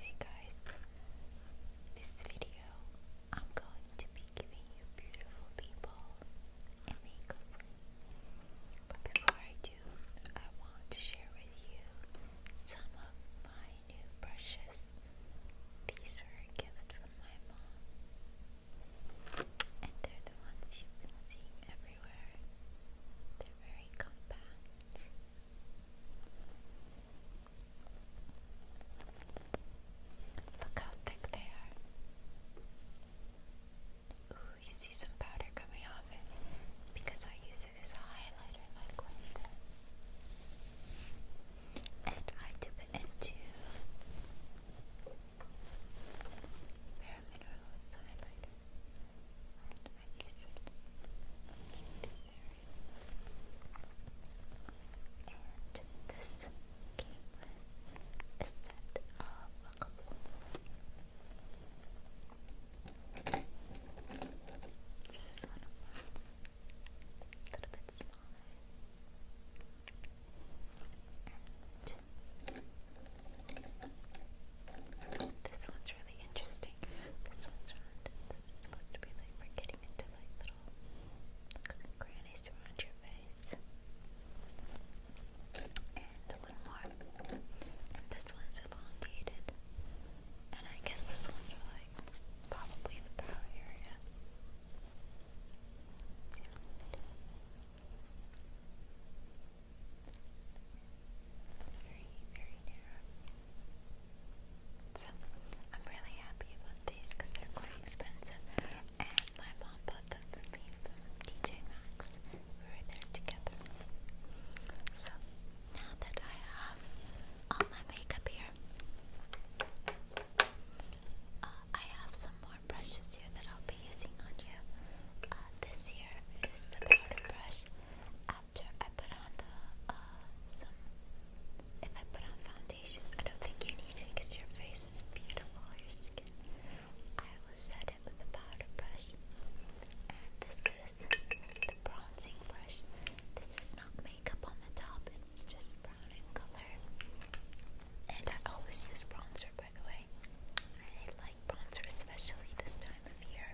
Hey guys, this video I'm going to be giving you beautiful people makeup. But before I do, I want to share with you some of my new brushes. These were a from my mom, and they're the ones you've been seeing everywhere. They're very compact. Look how thick they are. Ooh, you see some powder coming off it because I use it as a highlighter, like right there. And I dip it into Paramineralist highlighter. And this came with a set of a couple this is one A little bit smaller. This one's really interesting. This one's round. This is supposed to be like we're getting into like little looks around your face. And one more. this one's elongated. And I guess this one's like probably the brow area. I'm really happy about these because they're quite expensive. And my mom bought them for me from TJ Maxx. We there together. So, now that I have all my makeup here, uh, I have some more brushes here that I'll be using on you uh, this year is the powder brush. After I put on the uh, some, if I put on foundation, I don't think you need it because your face is beautiful, your skin. I will set it with the powder brush, this is the bronzing brush. This is not makeup on the top; it's just brown color. And I always use bronzer, by the way. I like bronzer, especially this time of year.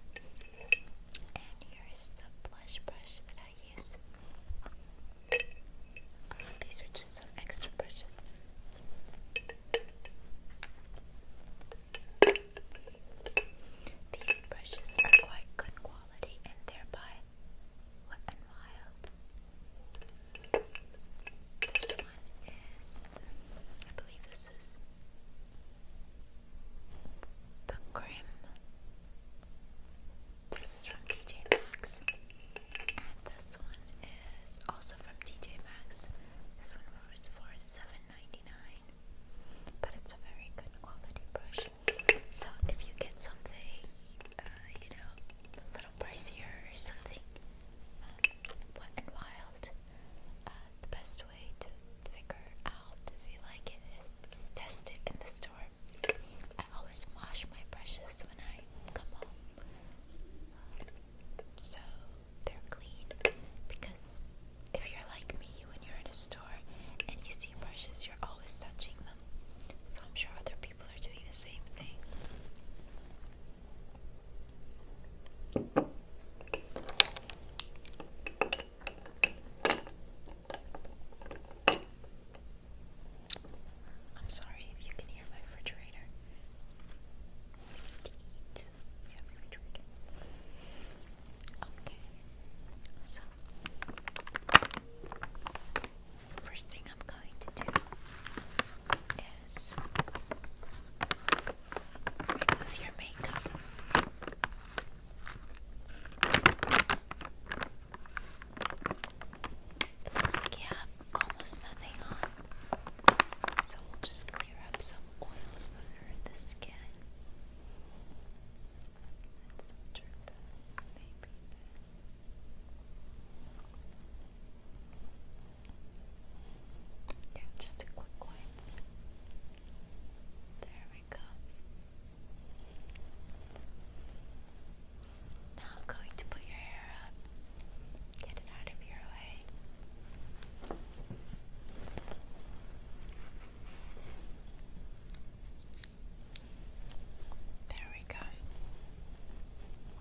And here is the blush brush that I use. Oh, these are just some extra brushes. These brushes are quite good quality and thereby wet and wild. This one is, I believe this is the Grim. This is from TJ Maxx. And this one is also from TJ Maxx. This one was for $7.99. But it's a very good quality brush. So if you get something, uh, you know, a little pricier or something, um, wet and wild, uh, the best way to figure out if you like it is test it in the store. I always wash my brushes when I come home, so they're clean. Because if you're like me, when you're in a store and you see brushes, you're always touching them. So I'm sure other people are doing the same thing. I'm sorry if you can hear my refrigerator. Okay. So first thing I'm going to do remove your makeup. Looks like you have almost nothing on, so we'll just clear up some oils that the skin. Let's turn that yeah, just a quick wipe. There we go. Now I'm going to put your hair up. Get it out of your way. There we go.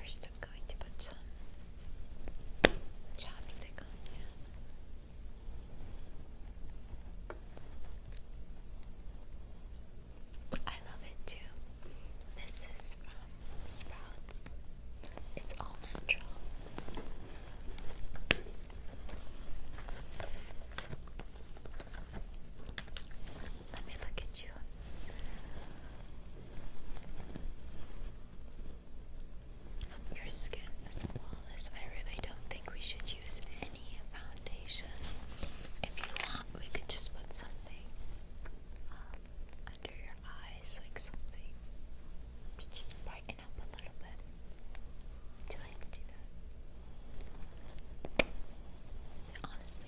We're still going to put some chopstick on you. I love it too. This is from Sprouts. It's all natural. Let me look at you. Your skin is flawless. I really don't think we should use any foundation. If you want, we could just put something um, under your eyes, like something to just brighten up a little bit. Would you like to do that? Honestly,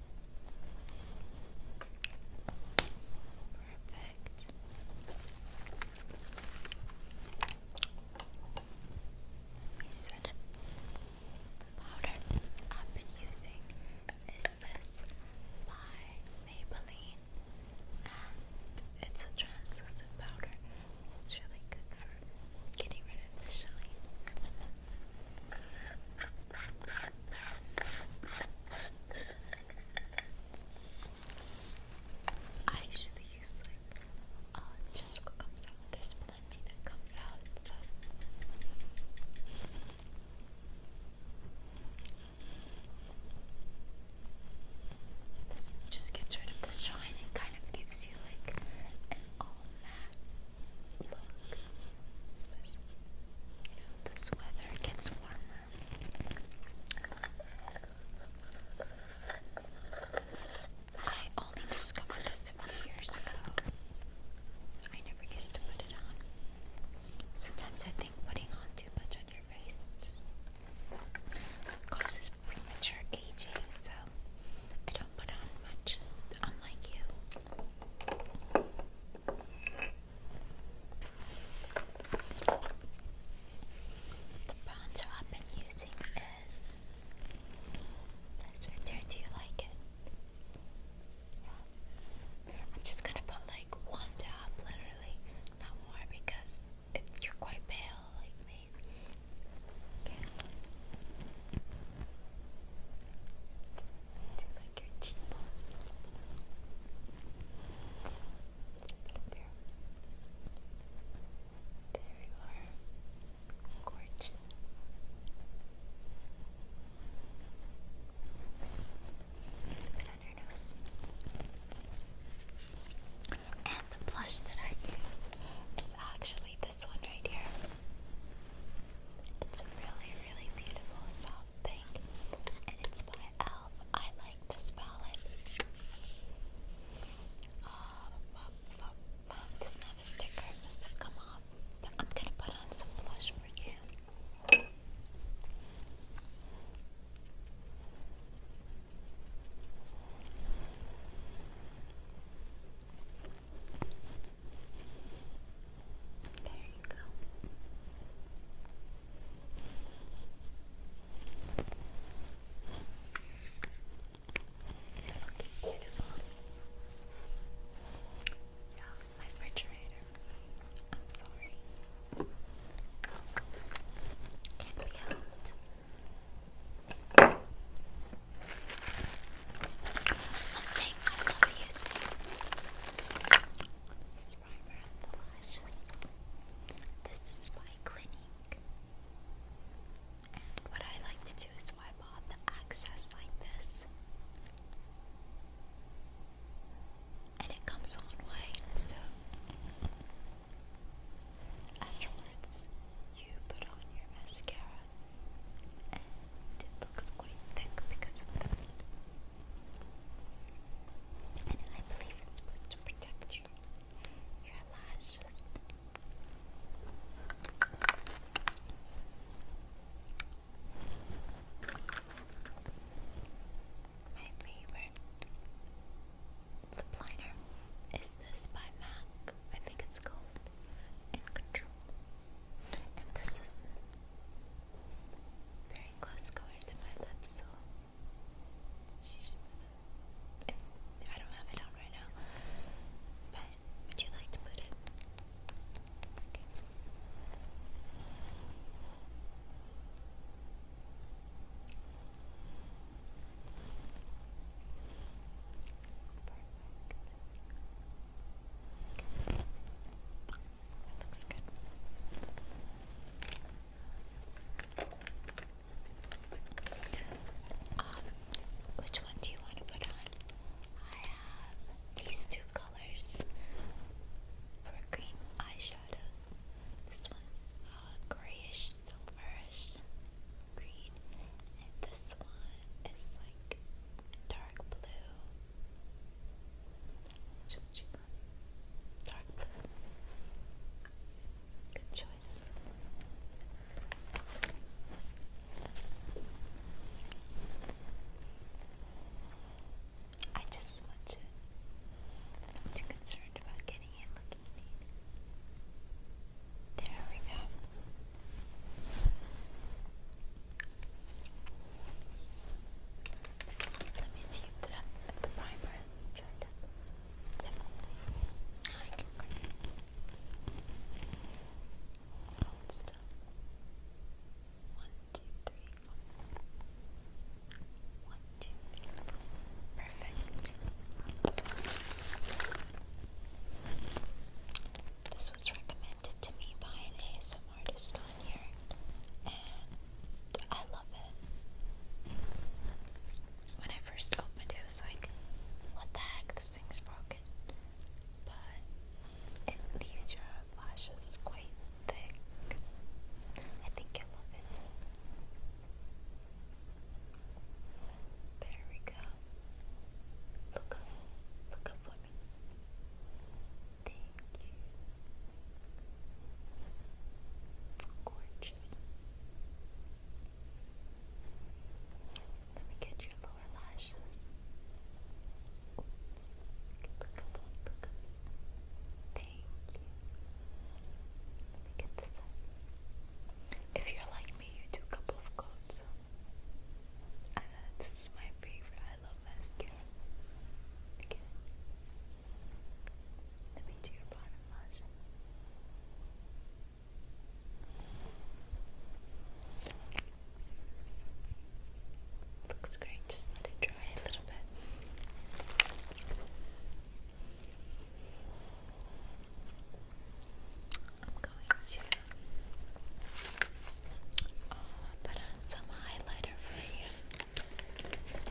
Perfect. The powder I've been using is this by Maybelline, and it's a translucent powder. It's really good for getting rid of the shine. I usually use like uh, just what comes out. There's plenty that comes out. This just gets rid of the shine and kind of gives you like all matte this weather gets warmer. I only discovered this a few years ago. I never used to put it on. Sometimes I think putting on too much on your face causes premature aging, so I don't put on much, unlike you. The bronzer I've been using is this right there. Do you like it? I'm just gonna put like one dab, literally, not more, because it, you're quite pale like me like your cheekbones a little There you are. Gorgeous. A bit your nose. And the blush that I use is actually this one right here. It's really, really beautiful, Pink, and it's by Elf. I like this palette. Um, um, um, this does sticker, must have come off. But I'm gonna put on some blush for you. There you go. Okay, beautiful. Yeah, my refrigerator. I'm sorry. Can't be helped. One thing I love using is primer on lashes. This is by Clinique. what I like to do is wipe off the excess like this. And it comes on white, so afterwards you put on your mascara it looks quite thick because of this. And I believe it's supposed to protect you, your lashes. My favorite lip liner is this by MAC. I think it's called In Control. And this is very close going to my lips, so I don't have it on right now. But would you like to put it? Um, which one do you want to put on? I have these two colors for cream eyeshadows. This one's uh, grayish, silverish green, and this one is like dark dark blue. you Dark blue. Good choice. I just smudge it. I'm too concerned about getting it looking neat. There we go. Let me see if the, the primer dried up. One, two, three. One, two, three. Perfect. This was recommended to me by an ASMR artist on here, and I love it. When I first opened it, was like, what the heck, this thing's broken. But it leaves your lashes quite thick. I think I love it. There we go. Look up. Look up for me. Thank you. Gorgeous. Let me get your lower lashes. Oops. Look up, look up. Thank you. Let me get this up. If you're like me, you do a couple of coats. And this is my favorite. I love mascara. Again. Let me do your bottom lash. Looks great, just let it dry a little bit. I'm going to uh, put on some highlighter for you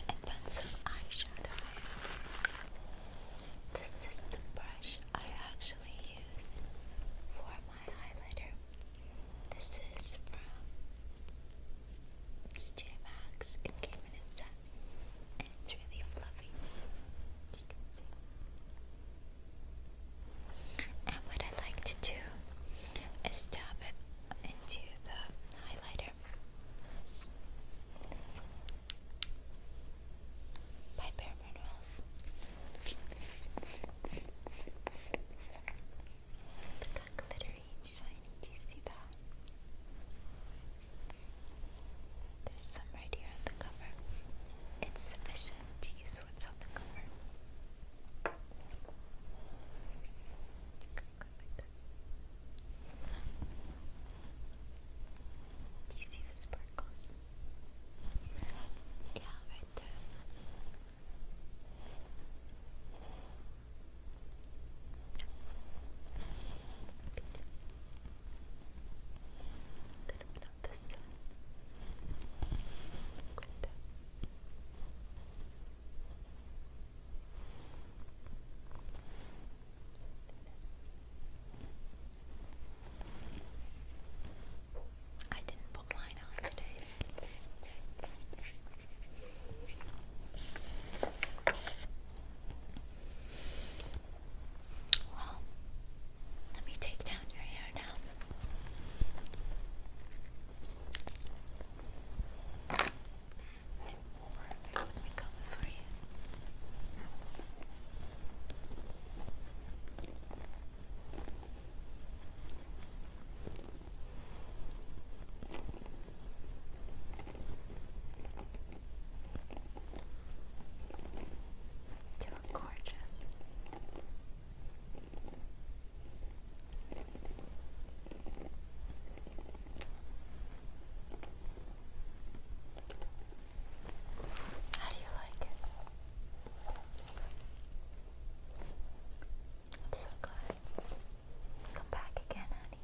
and then some eyeshadow. This is the brush I actually use for my highlighter. This is from DJ Max in a set and it's really fluffy. You can see. And what I like to do is tap it into the highlighter. That's Bare Minerals. Look how glittery and shiny. Do you see that? There's some right here on the cover. It's sufficient to use what's on the cover. Go, go like that. Do you see the sparkles? Yeah, right there little bit I didn't put mine on today. Well, let me take down your hair now. Let me comb for you. You look gorgeous. How do you like it? I'm so glad. Come back again, honey.